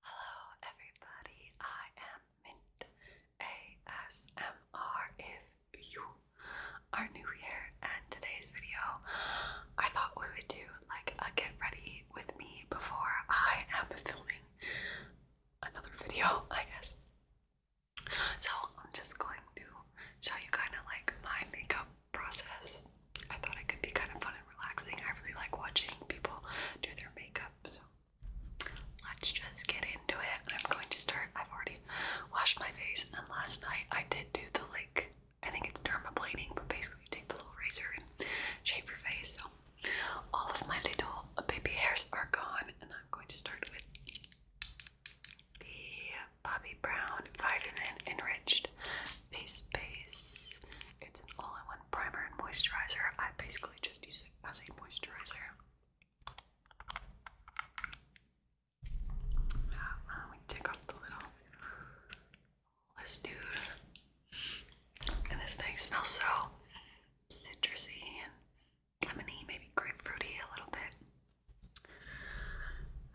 Hello, everybody. I am Mint ASMR. If you are new here, and today's video, I thought we would do like a get ready with me before I am filming another video, I guess. So I'm just going to show you kind of like my makeup process. I thought it could be kind of fun relaxing. I really like watching people do their makeup. So let's just get into it. I'm going to start. I've already washed my face, and last night I did do the like, I think it's dermablading, but basically you take the little razor and shape your face. So all of my little baby hairs are gone, and I'm going to start with the Bobbi Brown Vitamin Enriched Face Base. It's an all-in-one primer and moisturizer. I basically just use it as a moisturizer. Uh, we take off the little this dude. And this thing smells so citrusy and lemony, maybe grapefruity a little bit.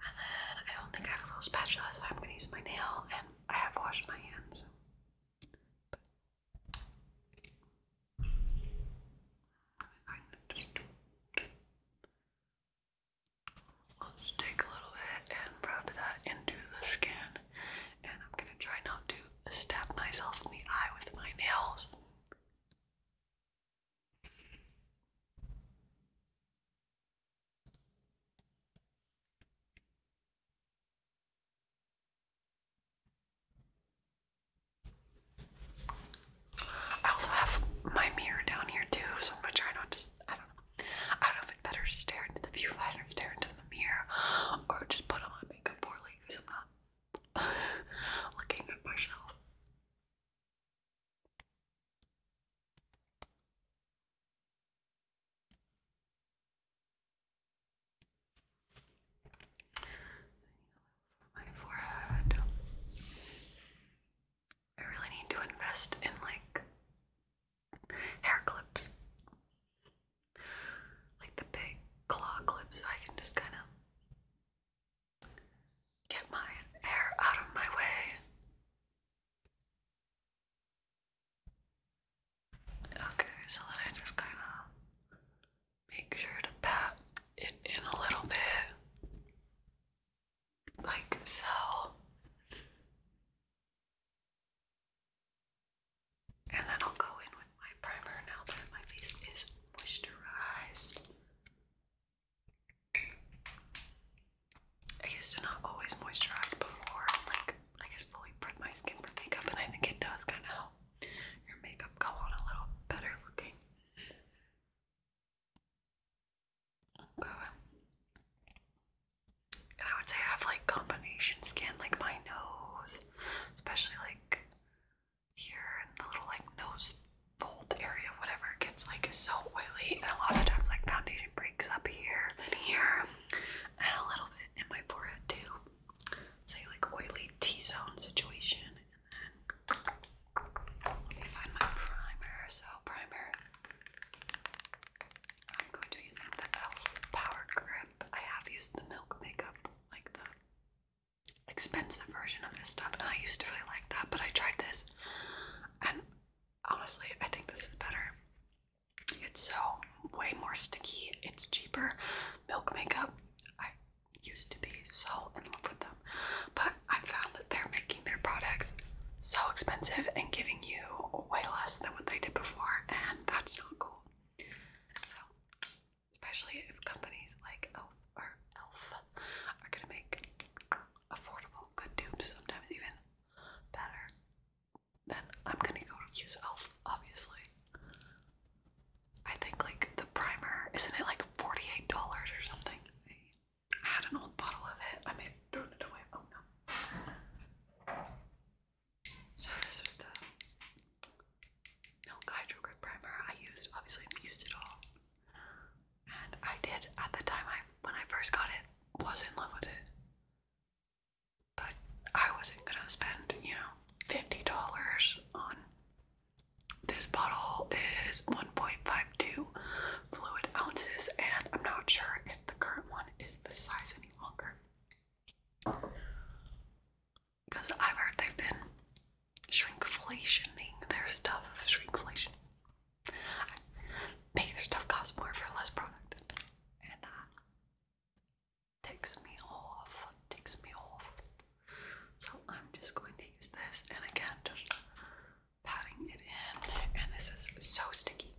And then I don't think I have a little spatula, so I'm gonna use my nail and I have washed my hands. Let's take a little bit and rub that into the skin. And I'm going to try not to stab myself in the eye with my nails. I also have my mirror down here too, so I'm gonna try not to. I don't know. I don't know if it's better to stare into the viewfinder, stare into the mirror, or just put on my makeup poorly because I'm not looking at myself my forehead. I really need to invest in like hair clips. Like the big claw clips so I can just kind of get my hair out of my way. Okay, so then I just kind of make sure to pat it in a little bit, like so. And then I'll go in with my primer now that my face is moisturized. I used to not always moisturize before, like I guess, fully prep my skin for makeup, and I think it does kind of help your makeup go on a little better looking. and I would say I have like combination skin, like my nose, especially like here in the little like nose fold area, whatever gets like so oily, and a lot of times like foundation breaks up here and here, and a little bit and my forehead too. Say like oily T-zone situation, and then let me find my primer. So primer, I'm going to be using the Elf Power Grip. I have used the Milk Makeup, like the expensive version of this stuff, and I used to really like that, but I tried this, and honestly, I think this is better. It's so way more sticky. It's cheaper. Milk makeup. I used to be so in love with them, but I found that they're making their products so expensive and giving you way less than what they did before, and that's not cool. So, especially if companies like Elf or Elf are gonna make affordable good dupes, sometimes even better then I'm gonna go use e.l.f. obviously. I think like the primer, isn't it like $48 or something? I had an old bottle of it. I may thrown it away. Oh no. So this was the Milk Hydro Grip Primer I used. Obviously, I used it all. And I did, at the time I when I first got it, was in love with it. But I wasn't gonna spend, you know, fifty dollars on this bottle is 1.52 fluid ounces, and I'm not sure if the current one is this size any longer. Because I've heard they've been shrinkflationing their stuff. Shrinkflation. Make their stuff cost more for less product. And uh, ticks me off, ticks me off. So I'm just going to use this, and again, just patting it in. And this is so sticky,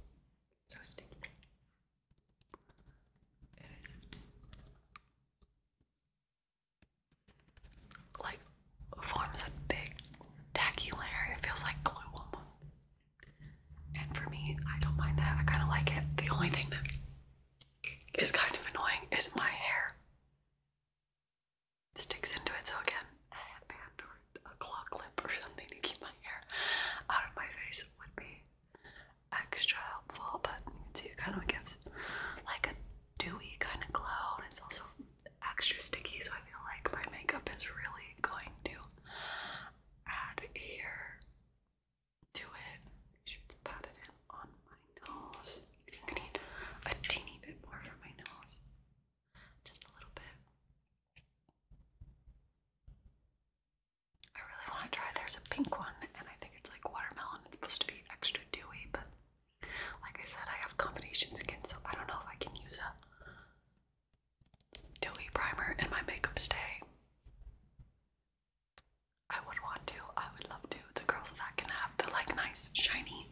so sticky. It is like forms a big tacky layer. It feels like glue almost. And for me, I don't mind that. I kind of like it. The only thing that is kind of annoying is my hair sticks into it. So, again, a headband or a claw clip or something to keep my hair out of my face would be extra helpful. But you can it kind of gives like a dewy kind of glow, and it's also extra sticky. So, I feel like my makeup is really going to add here do it. You should pat it in on my nose. I need a teeny bit more for my nose. Just a little bit. I really want to try. There's a pink one, and I think it's like watermelon. It's supposed to be extra dewy, but like I said, I have combinations skin, so I don't know if I can use a dewy primer in my makeup stay. I would want to. I would love to. The girls that can have the like nice, shiny,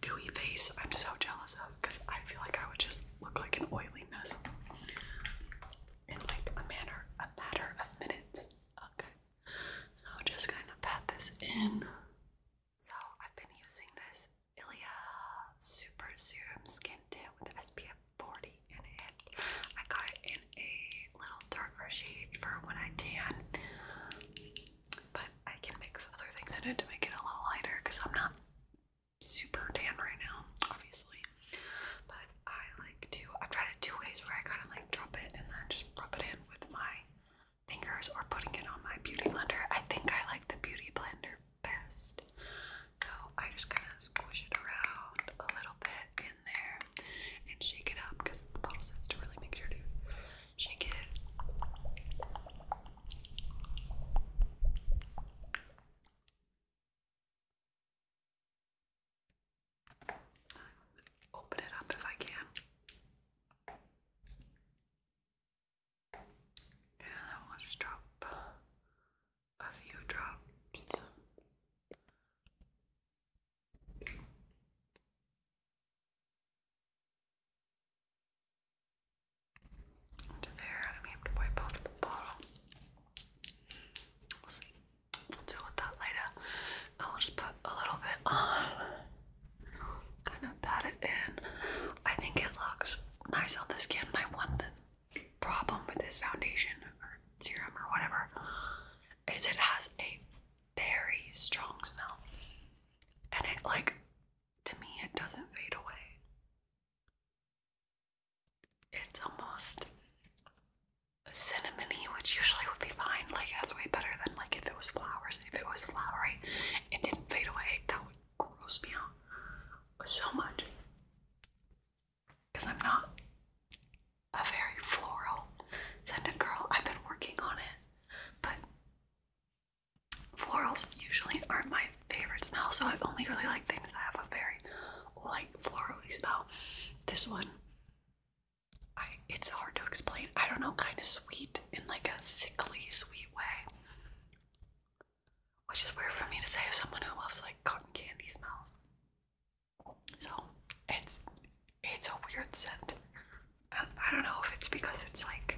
dewy face, I'm so jealous of because I feel like I would just look like an oily mess in like a manner, a matter of minutes. Okay, so just kind of pat this in. So I've been using this Ilia Super Serum Skin Tint with SPF 40 in it. I got it in a little darker shade for when I tan, but I can mix other things in it to make it a little lighter because I'm not super tan right now, obviously. But I like to, I've tried two ways where I kind of like drop it and then just rub it in with my fingers or putting it on my beauty blender. I think I like the beauty blender best. So I just kind of squish it around a little bit in there and shake it up because the bottle sits to really make sure to shake it. Open it up if I can. Yeah, that one just a few drops. Into there, and we have to wipe off the bottle. We'll see. We'll deal with that later. I will just put a little bit on, kind of pat it in. I think it looks nice on the skin, my one problem with this foundation or serum or whatever is it has a very strong smell. And it, like, to me, it doesn't fade away. It's almost cinnamony, which usually would be fine. Like, that's way better than, like, if it was flowers. If it was flowery, it didn't fade away. That would gross me out so much because I'm not a very floral of girl. I've been working on it, but florals usually aren't my favorite smell, so I only really like things that have a very light florally smell. This one, I it's hard to explain. I don't know, kind of sweet in like a sickly sweet way. Which is weird for me to say as someone who loves like cotton candy smells. So it's it's a weird scent. I, I don't know if it's because it's like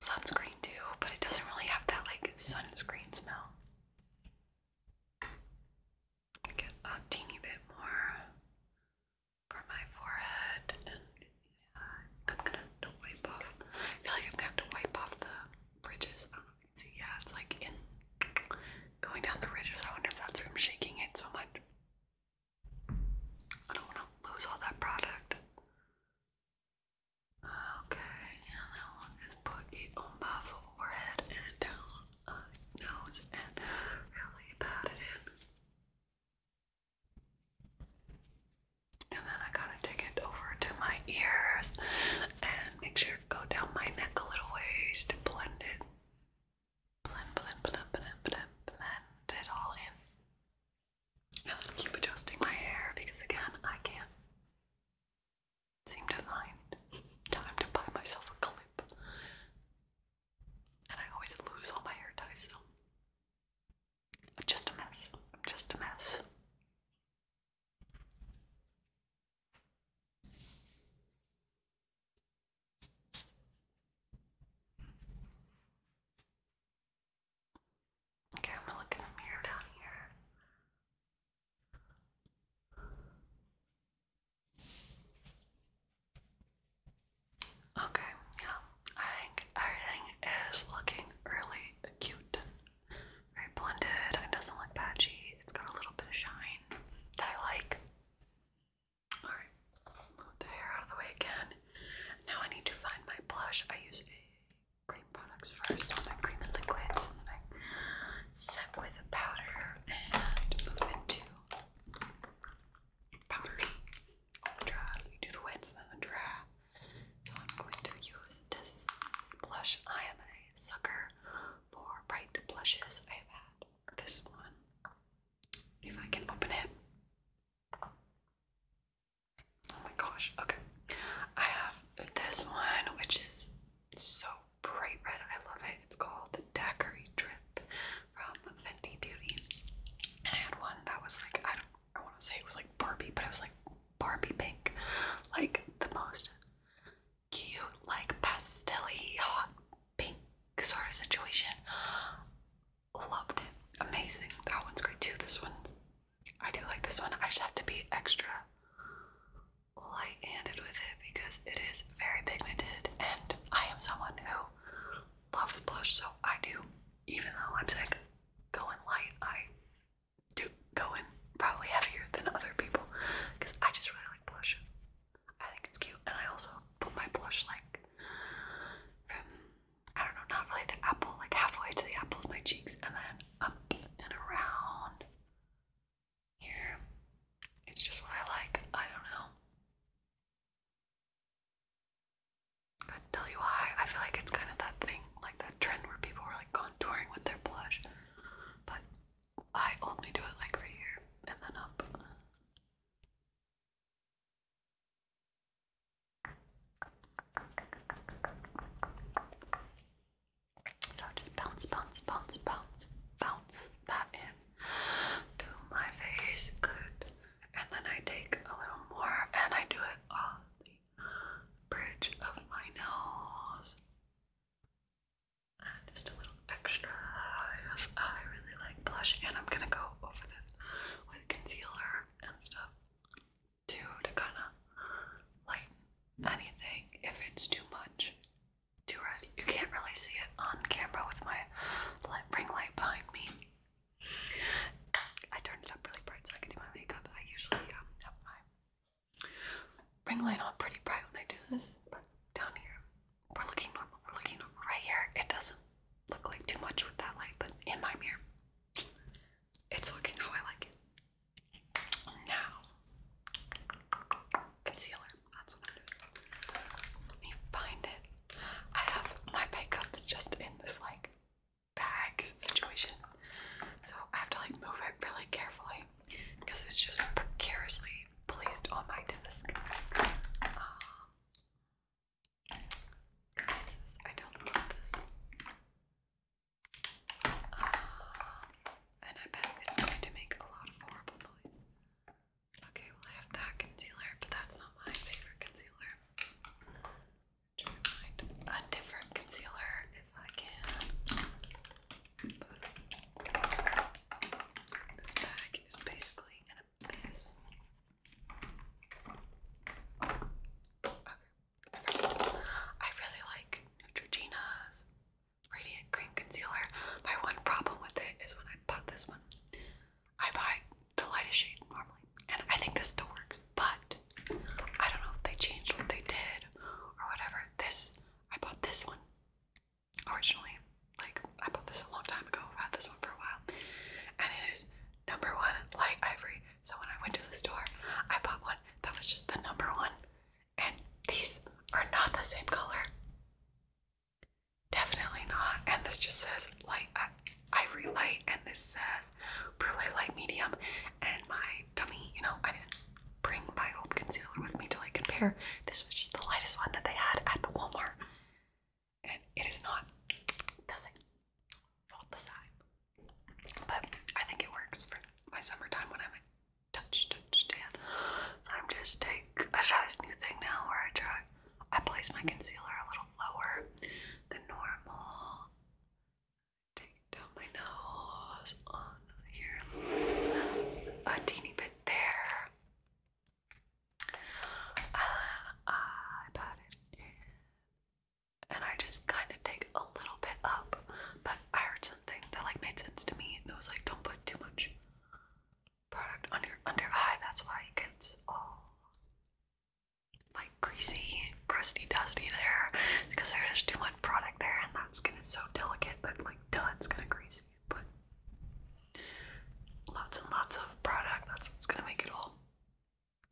sunscreen too, but it doesn't really have that like sunscreen smell. Get a teeny bit more for my forehead, and I'm gonna wipe off. I feel like I'm gonna have to wipe off the bridges can yeah, it's like in going down the ridges. I wonder if that's I'm shaking it so much. I don't want to lose all that product. Uh, okay, and then we'll just put it on my forehead and down uh, nose and really pat it in. And then I got take it over to my ears and make sure go down my neck a little ways to blend it. Blend, blend, blend, blend, blend, blend it all in. i keep adjusting my hair because again, I can't seem to find time to buy myself a clip. And I always lose all my hair ties, so I'm just a mess. I'm just a mess. Okay, I'm gonna look in the mirror down here. Okay, yeah, I think everything is looking really cute very blended. It doesn't look patchy. It's got a little bit of shine that I like. Alright, move the hair out of the way again. Now I need to find my blush. I use cream products first, all cream and liquids, then I set with a powder and move into powder. Dry. you do the wets, then the dry. So I'm going to use this blush IMA sucker for bright blushes. I have had this one. If I can open it. Oh my gosh, okay. I have this one, which is so bright red. I love it. It's called the Daiquiri Drip from Fenty Beauty. And I had one that was like, I don't, I want to say it was like Barbie, but it was like Barbie pink. Like the most cute, like pastelly, hot pink sort of situation. Loved it. Amazing. That one's great too. This one, I do like this one. I just have to be extra light handed with it because it is very pigmented, and I am someone who loves blush, so I do, even though I'm sick, going light. I do going probably heavier than other people because I just really like blush. I think it's cute, and I also put my blush like I don't know, not really the apple, like halfway to the apple of my cheeks, and then up and around here. It's just what I like. I don't know. I tell you why. I feel like it's kind of that thing, like that trend where people were like contouring with their blush, but I only do it like right here and then up. So just bounce, bounce, bounce, bounce, bounce that in to my face. Good. And then I take a little more and I do it on the bridge of my nose just a little extra. Yes, I really like blush, and I'm gonna go over this with concealer and stuff too to kind of lighten anything if it's too much. Too red. You can't really see it on camera with my ring light behind me. I turned it up really bright so I can do my makeup. I usually um, have my Ring light on pretty bright when I do this, but down here, we're looking normal. We're looking normal. Right here, it doesn't look like too much with that light, but in my mirror, it's looking how I like it. Now, concealer. Let me find it. I have my makeup's just in this like bag situation, so I have to like move it really carefully because it's just precariously placed on my desk. Um, I don't love this. Uh, and I bet it's going to make a lot of horrible noise. Okay, well I have that concealer, but that's not my favorite concealer. trying to find a different concealer I can. But this bag is basically an abyss. Okay. I really like Neutrogena's Radiant Cream Concealer. My one problem with it is when I bought this one, I buy the lightest shade normally, and I think this still works, but I don't know if they changed what they did or whatever. This I bought this one originally. Like, I bought this a long time ago. I've had this one for a while. And it is number one light ivory. So when I went to the store, I bought one that was just the number one. And these are not the same color. Definitely not. And this just says light ivory light, and this says brulee light medium. And my dummy, you know, I didn't bring my old concealer with me to like compare. This was just the lightest one that they had at the Walmart. And it is not doesn't not the same. But I think it works for my summertime when I'm like touch touch tan. So I'm just take I try this new thing now where I try I place my concealer a little lower than normal Take down my nose on here a teeny bit there. And I pat it And I just kind of take a little bit up. But I heard something that like made sense to me. and It was like don't put too much product on your under eye. That's why it gets all like greasy, crusty, dusty there because there's just too much product there, and that skin is so delicate that, like, duh, it's gonna grease you. But lots and lots of product, that's what's gonna make it all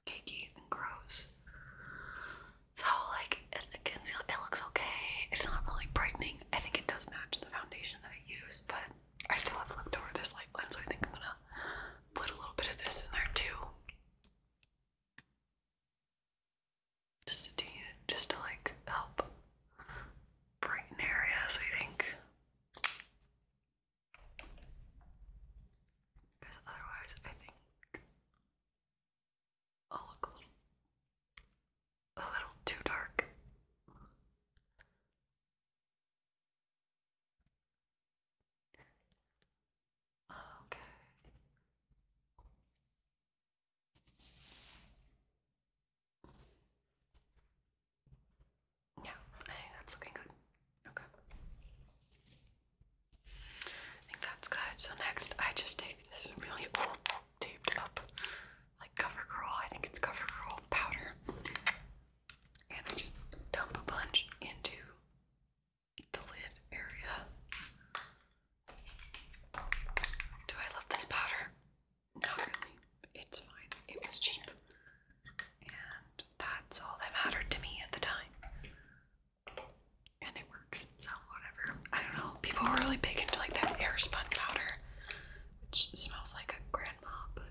cakey and gross. So, like, it, concealer, it looks okay. It's not really brightening. I think it does match the foundation that I use, but I still have left over this light blend, so I think I'm gonna put a little bit of this in there too just to just to like help brighten areas, I think. Because otherwise, I think I'll look a little a little too dark. Okay. Yeah, hey, that's looking good. Okay. I think that's good. So next I just take this really old taped up like CoverGirl, I think it's CoverGirl powder. And I just dump a bunch into the lid area. Do I love this powder? Not really. It's fine. It was cheap. And that's all that mattered to me at the time. And it works, so whatever. I don't know. People were really big into like that air spun powder, which smells like a grandma, but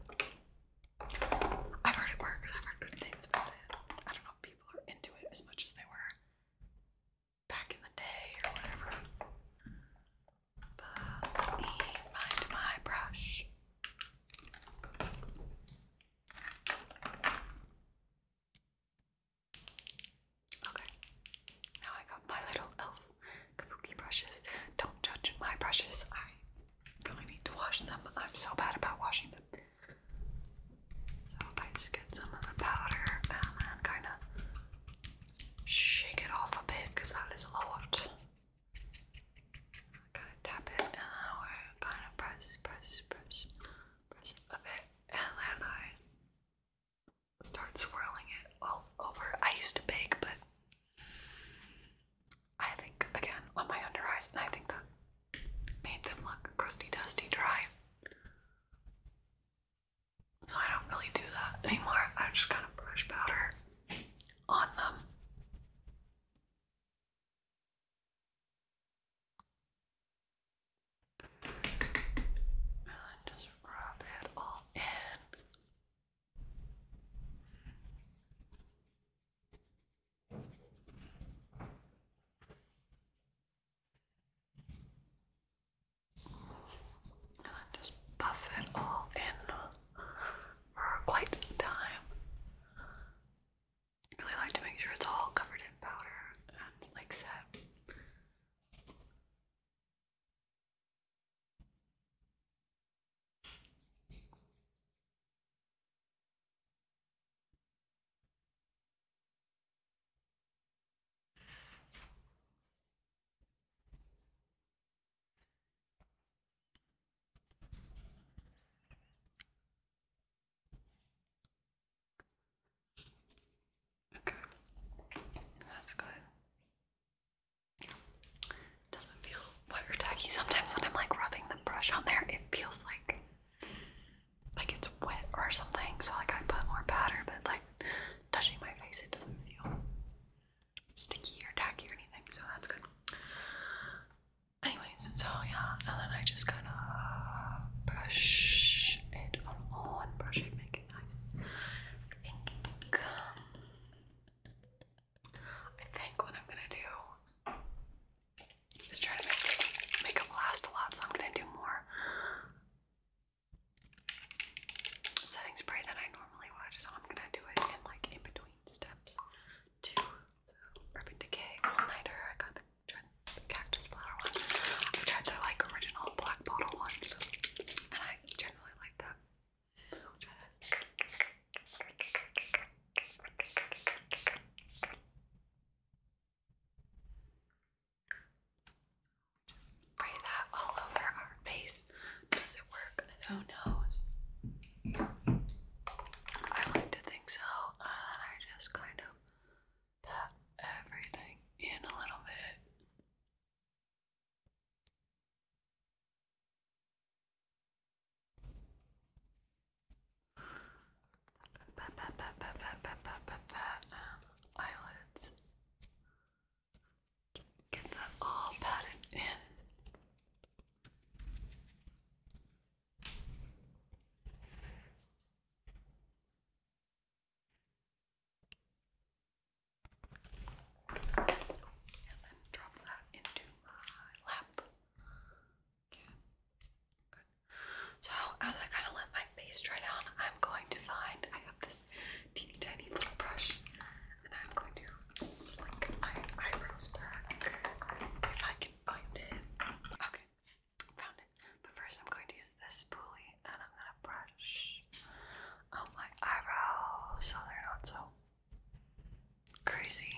I've heard it works. I've heard things about it. I don't know people are into it as much as they were back in the day or whatever. let me find my brush. Okay, now I got my little elf kabuki brushes. Don't judge my brushes. I really need to wash them. I'm so bad about washing them. So I just get some of the powder and kind of shake it off a bit because that is a lot. Kind of tap it, and then we kind of press, press, press, press a bit, and then I start swirling it all over. I used to bake, but I think again on my under eyes, and I think that made them look crusty, dusty, dry. So I don't really do that anymore. I just kind of brush powder on them. And just rub it all in. And just buff it all in for quite some time. I really like to make sure it's all covered in powder and like set. Okay, that's good. Doesn't feel water Sometimes when I'm like rubbing the brush on there, it feels like like it's wet or something. So like I put more powder, but like touching my face, it doesn't feel sticky or tacky or anything, so that's good. Anyways, so yeah, and then I just kind of brush it on brush it, make it nice. I think what I'm gonna do is try to make this makeup last a lot, so I'm gonna do more setting spray that I normally watch, so I'm gonna do it in like in between steps too. Urban Decay All I got the, cactus flower one. I've tried the like original black bottle one, and I generally like that. Just spray that all over our face. Does it work? Who knows? I like to think so, and I just kind of pat everything in a little bit. eyelids. Get that all padded in. And then drop that into my lap. So as I kind of let my face dry down, I'm going to find I have this teeny tiny little brush and I'm going to slick my eyebrows back if I can find it. Okay, found it. But first I'm going to use this spoolie and I'm going to brush out my eyebrows so they're not so crazy.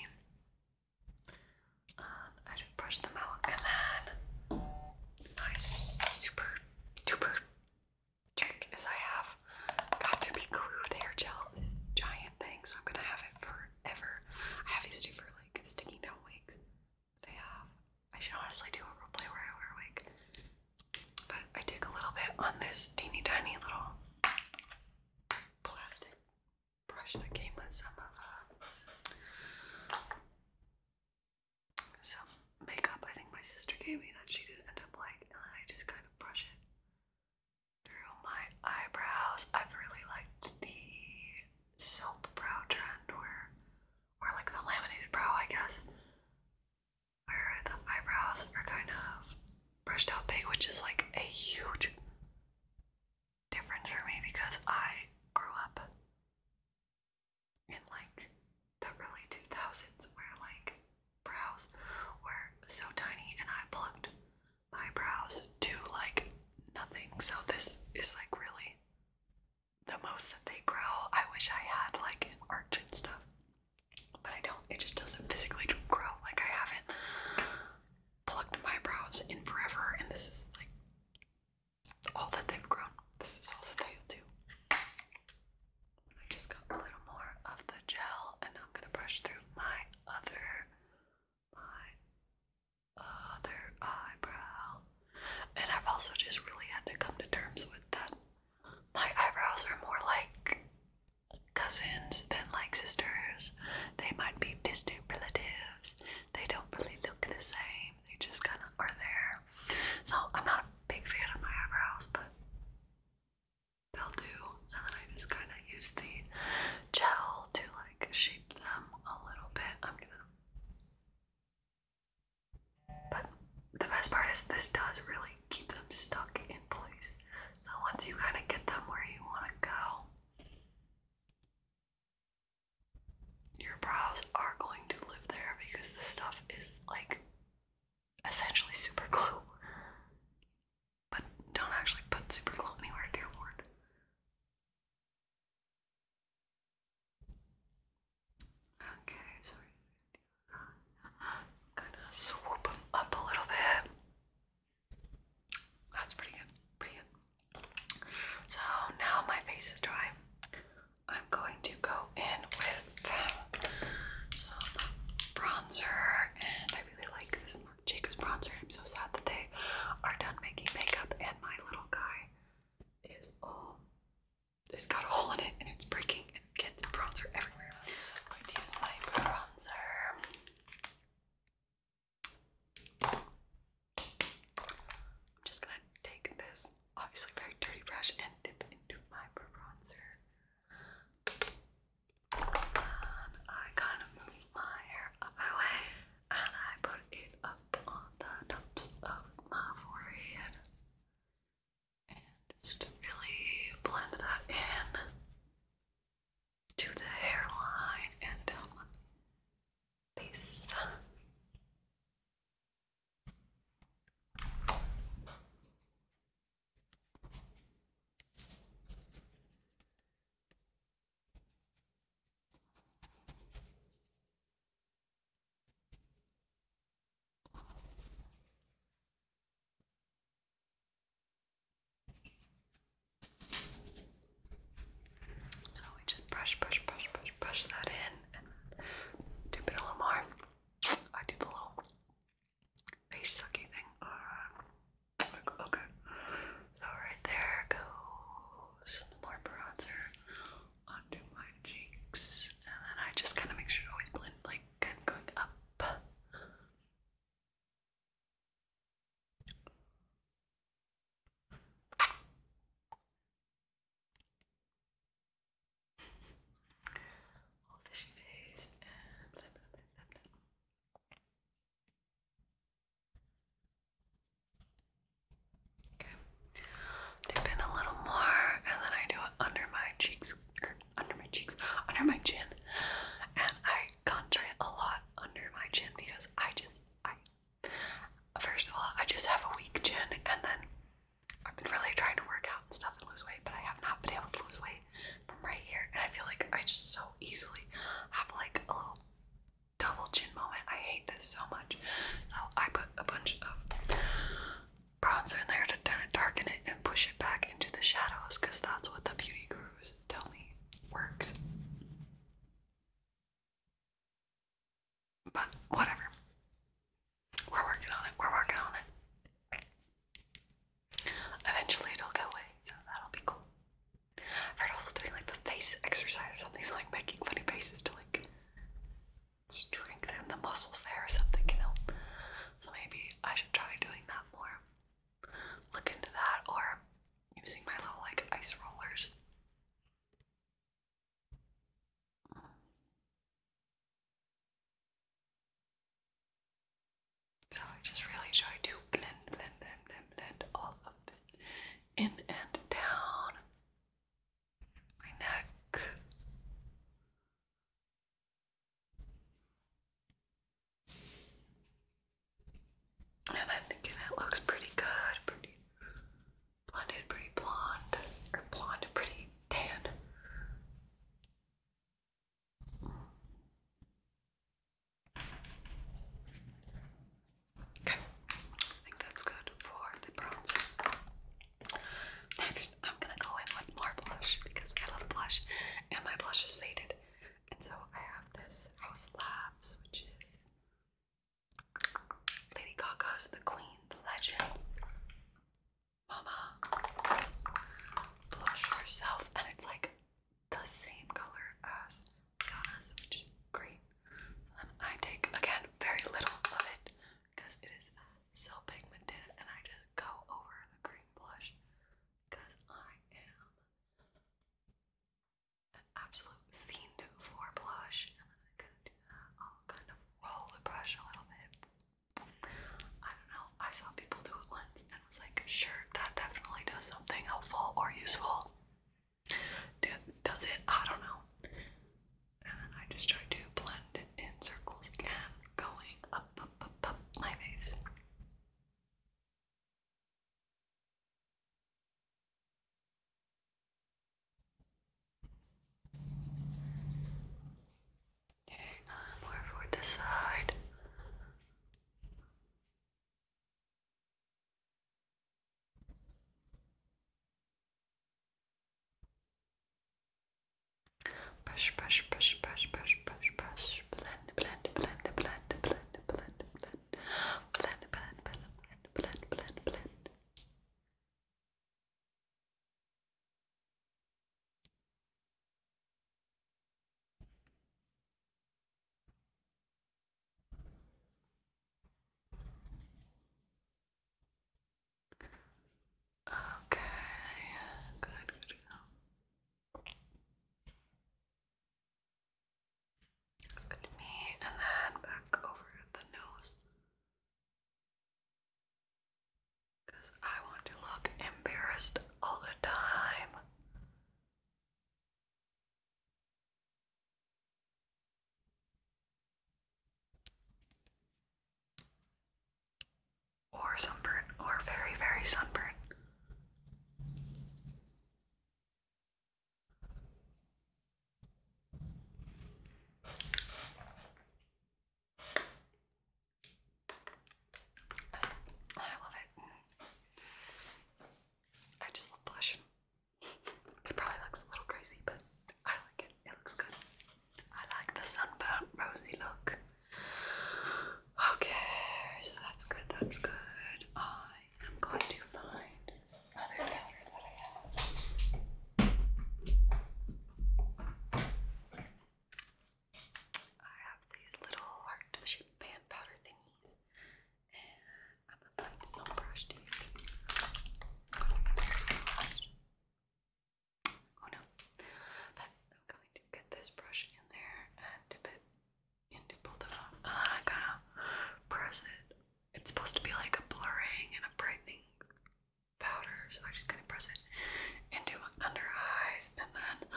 Um, I just brush them out and then my super duper trick is I have got to be crude hair gel this giant thing, so I'm gonna have it forever. I have these two for like sticking down wigs. I have I should honestly do a roleplay where I wear a wig. But I take a little bit on this teeny tiny little plastic brush that came with some of uh some makeup I think my sister gave me that she didn't end up like, and then I just kind of brush it through my eyebrows. I've really liked the soap brow trend where, or like the laminated brow, I guess, where the eyebrows are kind of brushed out big, which is like a huge difference for me because I grew up in like the early 2000s where like brows were so tiny and I plucked my brows to like nothing. So this is like really the most that they grow. I wish I had like an arch and stuff. But I don't. It just doesn't physically grow. Like I haven't plucked my brows in forever and this is like all that they've grown. This is all that they'll do. I just got a little more of the gel and I'm gonna brush through my other my other eyebrow. And I've also just really had to come to terms with that my eyebrows are more like cousins than like sisters. They might be distant relatives. They don't really look the same. They just kinda are there. So I'm not big fan of my eyebrows, but they'll do. And then I just kind of use the gel to like shape them a little bit. am gonna. But the best part is this does really keep them stuck in place. So once you kind of get them where you want to go, your brows are going to live there because the stuff is like essentially super glue. But don't actually put super glue anywhere, dear lord. Okay, sorry. gonna swoop up a little bit. That's pretty good, pretty good. So now my face is dry. I'm going to go in with um, some bronzer, and I really like this Jacobs bronzer. I'm so sad that they are done making makeup, and my little guy is all it's got a hole in it, and it's breaking, and it gets bronzer everywhere. So I'm going to use my bronzer. I'm just gonna take this obviously very dirty brush and dip into my bronzer. And I kind of move my hair up and I put it up on the tops of my forehead and just really blend that in to the hairline and down um, my so we just brush, brush, brush, brush, brush that in and dip it a little more. I do the little face sucky thing. Uh, okay. So right there goes more bronzer onto my cheeks. And then I just kind of make sure to always blend like kind up all fishy face and blah dip in a little more, and then I do it under my cheeks, er, under my cheeks, under my chin, and I contour a lot under my chin because I just I. First of all, I just have a weak chin, and then I've been really trying to work out and stuff and lose weight, but I have not been able to lose weight from right here. And I feel like I just so easily have like a little double chin moment. I hate this so much. So I put a bunch of bronzer in there to kind of darken it and push it back into the shadows because that's what the beauty gurus tell me works. But whatever. We're working on it. We're working on it. Eventually it'll go away, so that'll be cool. I've heard also doing like the face exercise or something, like making funny faces to like strengthen the muscles there or something can help. So maybe I should try doing that more. Look into that or using my little like ice rollers. So I just really try to blend, blend, blend, blend, blend all of it in and down my neck. And I'm thinking it looks pretty good, pretty blended, pretty blonde, or blonde, pretty tan. Okay, I think that's good for the bronzer. Next, I'm gonna go in with more blush because I love blush and my blush is faded. And so I have this House Labs, which is Lady Gaga's The Queen's Legend. Mama, blush yourself, and it's like the same color as Rihanna's, which is great. then I take again very little of it because it is so pigmented, and I just go over the green blush because I am an absolute fiend for blush, and then I kind of roll the brush a little bit I don't know. I saw people do it once and was like, sure, that definitely does something helpful or useful. Do, does it? I don't know. And I just try to blend in circles again, going up, up, up, up my face. Okay, more for this side. Brush, brush, brush, brush, brush, brush, brush. Blend, blend, blend, blend, blend, blend, blend, blend, blend, blend, blend, blend, blend. Okay, good, good, good. It's good to me, and then back over the nose. Because I want to look embarrassed all the time. Or sunburn, or very, very sunburn. I love it. I just love blush. It probably looks a little crazy, but I like it. It looks good. I like the sunburnt rosy look. Okay, so that's good, that's good. I am going to find this other powder that I have. I have these little heart-shaped pan powder thingies, and I'm applying some brush to Oh no! But I'm going to get this brush in there and dip it into both of them. And uh, then I kind of press it. It's supposed to be like a blurring and a brightening powder, so I'm just gonna press it into my under eyes and then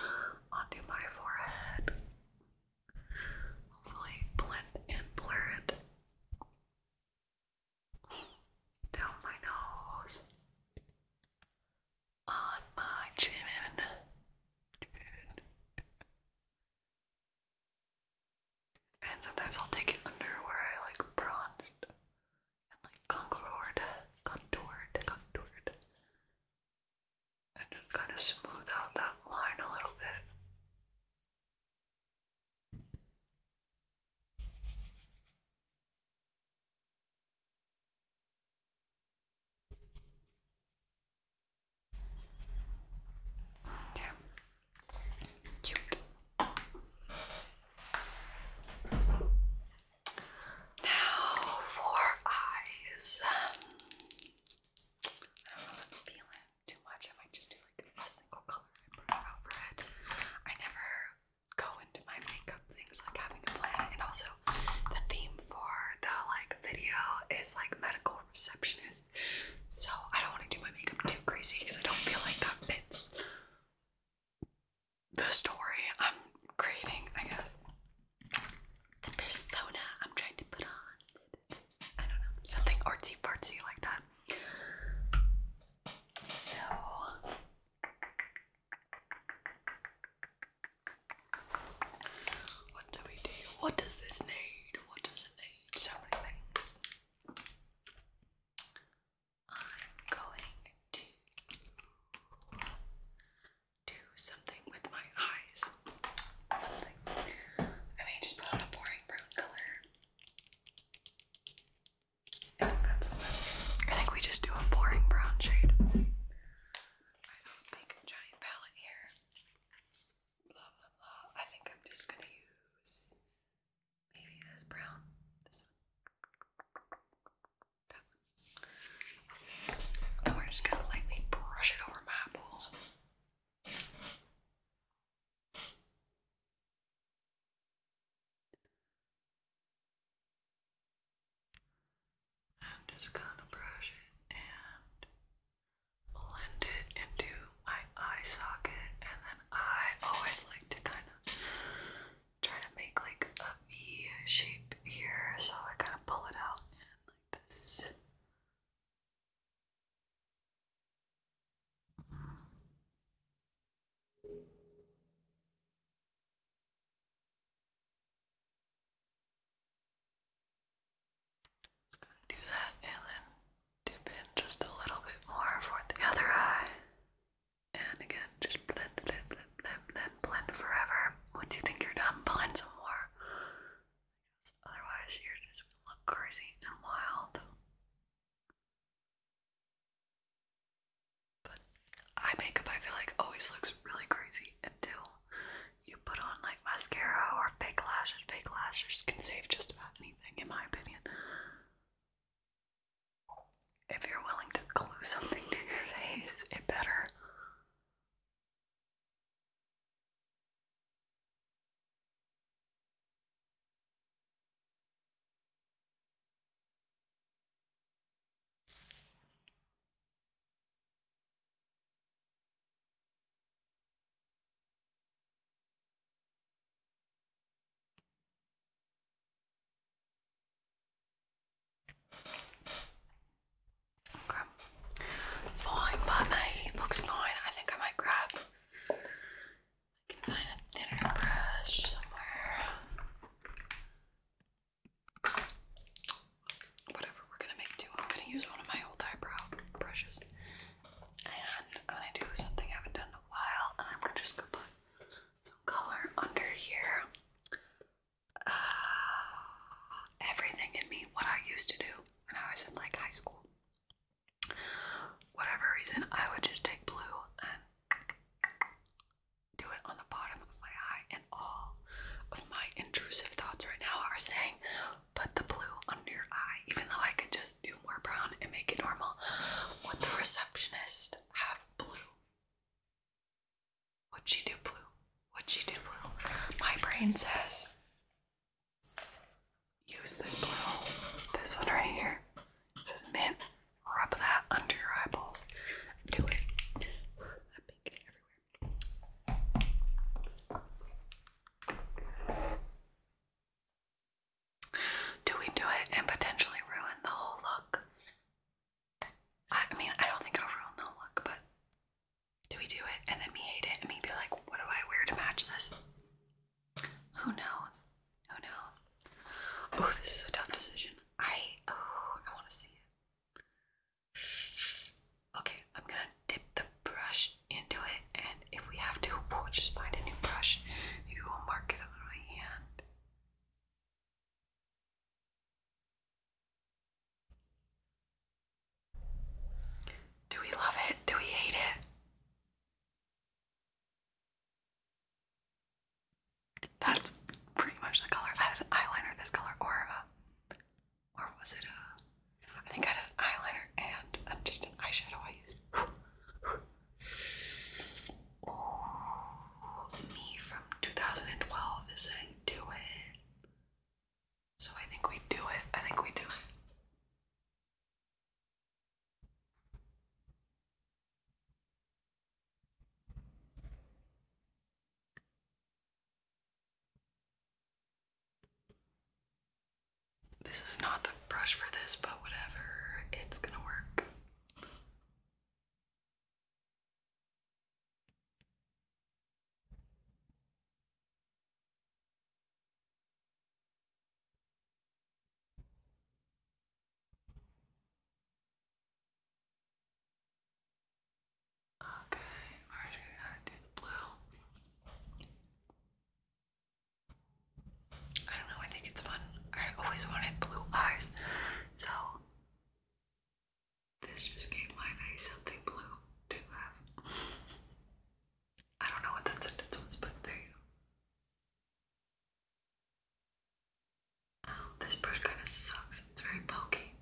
onto my forehead. Hopefully, blend and blur it down my nose, on my chin. And sometimes I'll take it under where I like bronzed and like contoured, contoured, contoured, and just kind of smooth out that line a little bit. Yeah. Cute. Now for eyes. I don't know if I'm feeling too much. I might just do like a single color and I never go into my makeup things like having a plan, and also the theme for the like video is like medical receptionist. So I don't want to do my makeup too crazy because I don't feel like that fits the story I'm creating, I guess. The persona I'm trying to put on. I don't know. Something artsy fartsy like that. So what do we do? What does this need? What does it need? So many things. I'm going to do something with my eyes. Something. I mean, just put on a boring brown color. I think we just do a boring brown shade. I have a big giant palette here. Blah blah blah. I think I'm just gonna use Maybe this brown. This one. That we're just gonna lightly brush it over my eyeballs. I'm just gonna brush it and blend it into my eye socket, and then I always like to kind of trying to make like a V shape here, so I kind of pull it out and like this. Just gonna do that and then dip in just a little bit more for the other eye. And again, just blend, blend, blend, blend, blend, blend forever. Once you think you're done, blend some more. Otherwise, you're just gonna look crazy and wild. But eye makeup, I feel like, always looks really crazy until you put on like mascara or fake lashes. Fake lashes can save just about anything, in my opinion. If you're willing to glue something to your face, it better. Okay. Fine, but mate, looks fine. I think I might grab. I can find a thinner brush somewhere. Whatever we're gonna make do, I'm gonna use one of my old eyebrow brushes. And I'm gonna do something I haven't done in a while, and I'm gonna just go put some color under here. Uh, everything in me, what I used to do when I was in like high school. Whatever reason, I would just take blue and do it on the bottom of my eye, and all of my intrusive thoughts right now are saying, put the blue under your eye, even though I could just do more brown and make it normal. Would the receptionist have blue What'd she do, Blue? What'd she do, Blue? My brain says use this blue. This one right here. It mint. Rub that under your eyeballs. Do it. That pink is everywhere. Do we do it and potentially ruin the whole look? I, mean, I don't think I'll look, but do we do it and then me hate it and me be like, what do I wear to match this? Who knows? Who knows? Oh, this is a tough decision. I oh, I want to see it. Okay, I'm gonna dip the brush into it, and if we have to, we'll just find a new brush. Maybe we'll mark it on my hand. Do we love it? Do we hate it? That's pretty much the color. i had an eyeliner this color, or uh, or was it a? Uh, I think I had an eyeliner and uh, just an eyeshadow I used me from 2012 is saying do it. So I think we do it. I think we do it. This is not the brush for this, but whatever, it's gonna work. Okay, are just going blue. I don't know, I think it's fun. I always wanted blue eyes, so this just gave my face something blue to have. I don't know what that sentence was, but there you go. Oh, this brush kind of sucks. It's very bulky.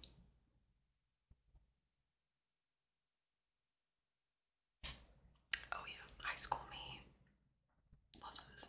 Oh yeah, high school me loves this.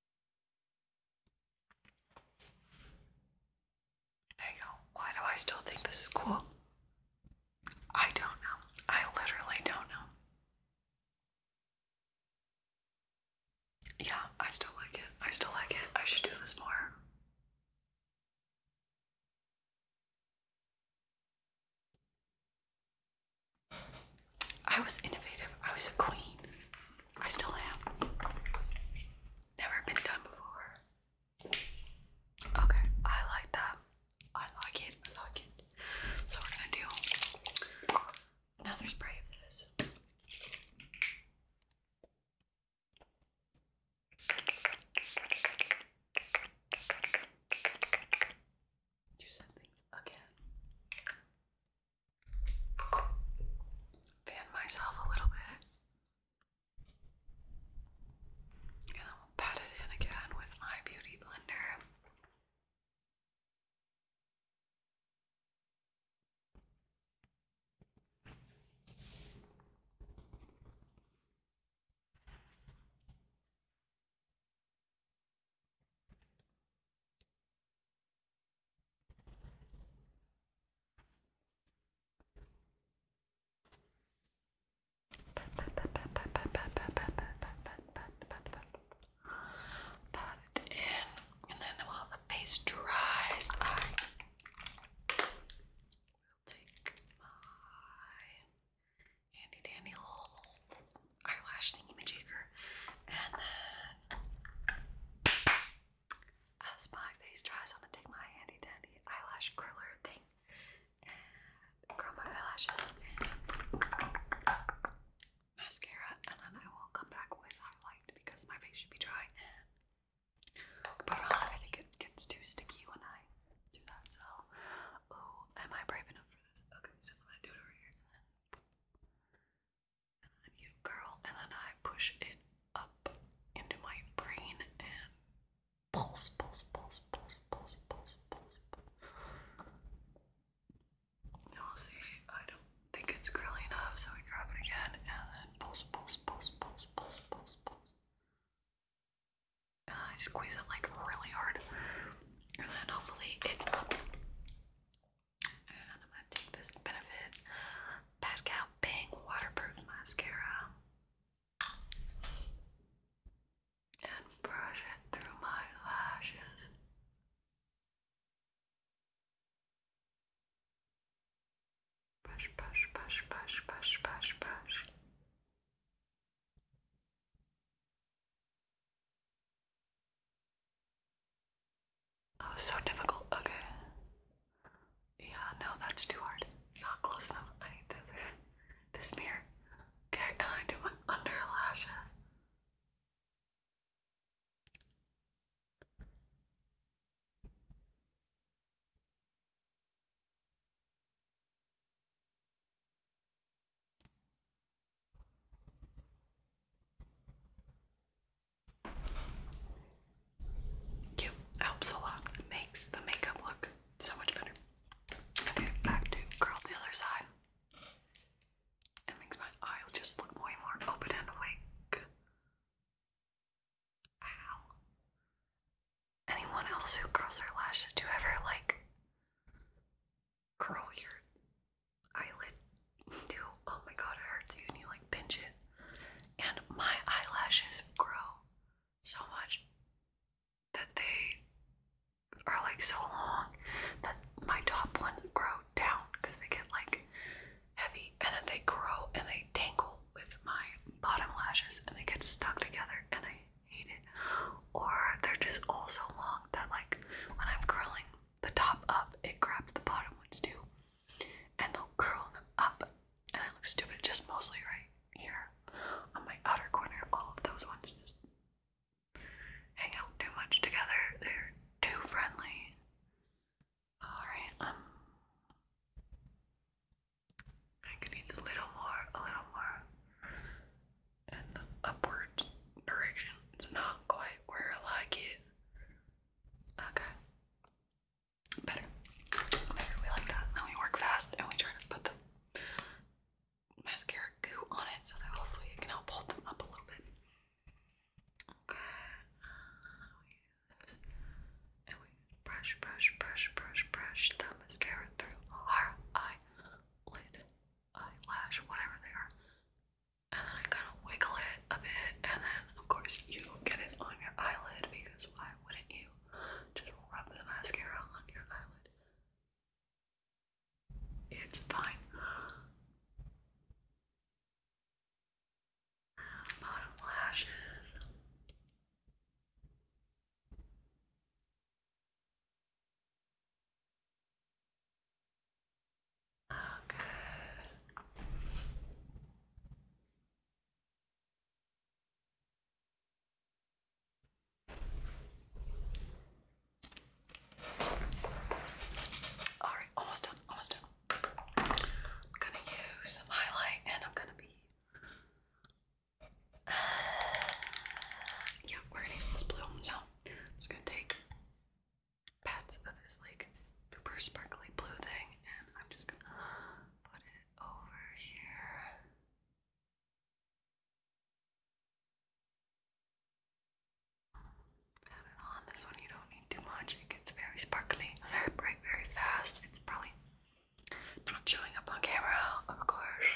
There you go. Why do I still think this is cool? I don't know. I literally don't know. Yeah, I still like it. I still like it. I should do this more. I was innovative. I was a queen. I still am. Never been done before. Okay, I like that. I like it. I like it. So we're gonna do another spray of this. Do some things again fan myself a little bit. And then pat it in again with my beauty blender. Pat it in, and then while the face dries, I will take my handy dandy little eyelash thingy majiger. And then as my face dries, I'm gonna take my handy dandy eyelash curler thing and curl my eyelashes mascara, and then I will come back with highlight because my face should be dry. And I think it gets too sticky when I do that. So, oh, am I brave enough for this? Okay, so I'm gonna do it over here and then you curl, and then I push it up into my brain and pulse, pulse, pulse, pulse, pulse, pulse, pulse. You'll see, I don't think it's curly enough, so we grab it again, and then pulse, pulse, pulse, pulse, pulse, pulse, pulse. And then I squeeze it like really hard, and then hopefully it's up. And I'm gonna take this Benefit Bad Cow Bang Waterproof Mascara and brush it through my lashes. Brush, brush, brush, brush, brush, brush, brush. Oh, so difficult. Okay. Yeah, no, that's too hard. It's not close enough. I need the, this mirror. Okay, and I do my under lashes helps a lot. Makes the makeup look so much better. Okay, back to curl the other side. It makes my eye just look way more open and awake. Ow. Anyone else who curls their lashes, do you ever like curl your eyelid too. Oh my god, it hurts you and you like pinch it. And my eyelashes grow so much that they are like so long that my top one grow down because they get like heavy and then they grow and they tangle with my bottom lashes and they get stuck together and I hate it. Or they're just all so long that like when I'm curling the top up, it grabs the bottom ones too. And they'll curl them up. And that looks stupid, just mostly right here on my outer corner. All of those ones just hang out too much together. They're too friendly. Alright, um, I could use a little more, a little more in the upward direction. It's not quite where I like it. Okay. Better. Better. We like that. Then we work fast and we try to put the mascara goo on it so that hopefully it can help hold them up a little bit. Okay. and we brush, brush, brush, brush, brush the mascara through our eyelid, eyelash, whatever they are and then I kind of wiggle it a bit, and then of course you get it on your eyelid because why wouldn't you just rub the mascara on your eyelid? It's fine. bottom lashes. Oh, good. All right, almost done, almost done. I'm gonna use some highlight and I'm gonna be. yeah, we're gonna use this blue. So I'm just gonna take pats of this like super sparkly blue thing, and I'm just gonna put it over here. Pat it on. This one you don't need too much. It gets very sparkly, very bright, very fast. It's probably not showing up on camera, of course.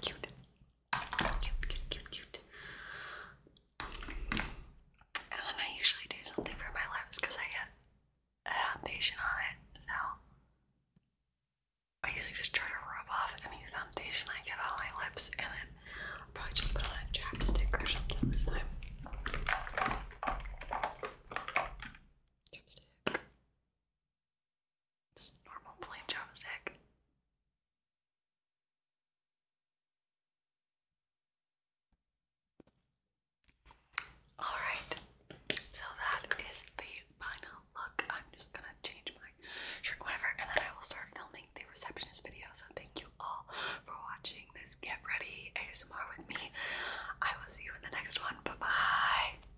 Cute. Cute, cute, cute, cute. And when I usually do something for my lips because I get foundation on it, now I usually just try to rub off any foundation I get on my lips and then probably just put on a chapstick or something this time. Chapstick. Just normal plain chopstick. Alright, so that is the final look. I'm just gonna change my shirt, whatever, and then I will start filming the receptionist video. So thank you all for watching this Get Ready ASMR with me. I will see you in the next one. Bye bye.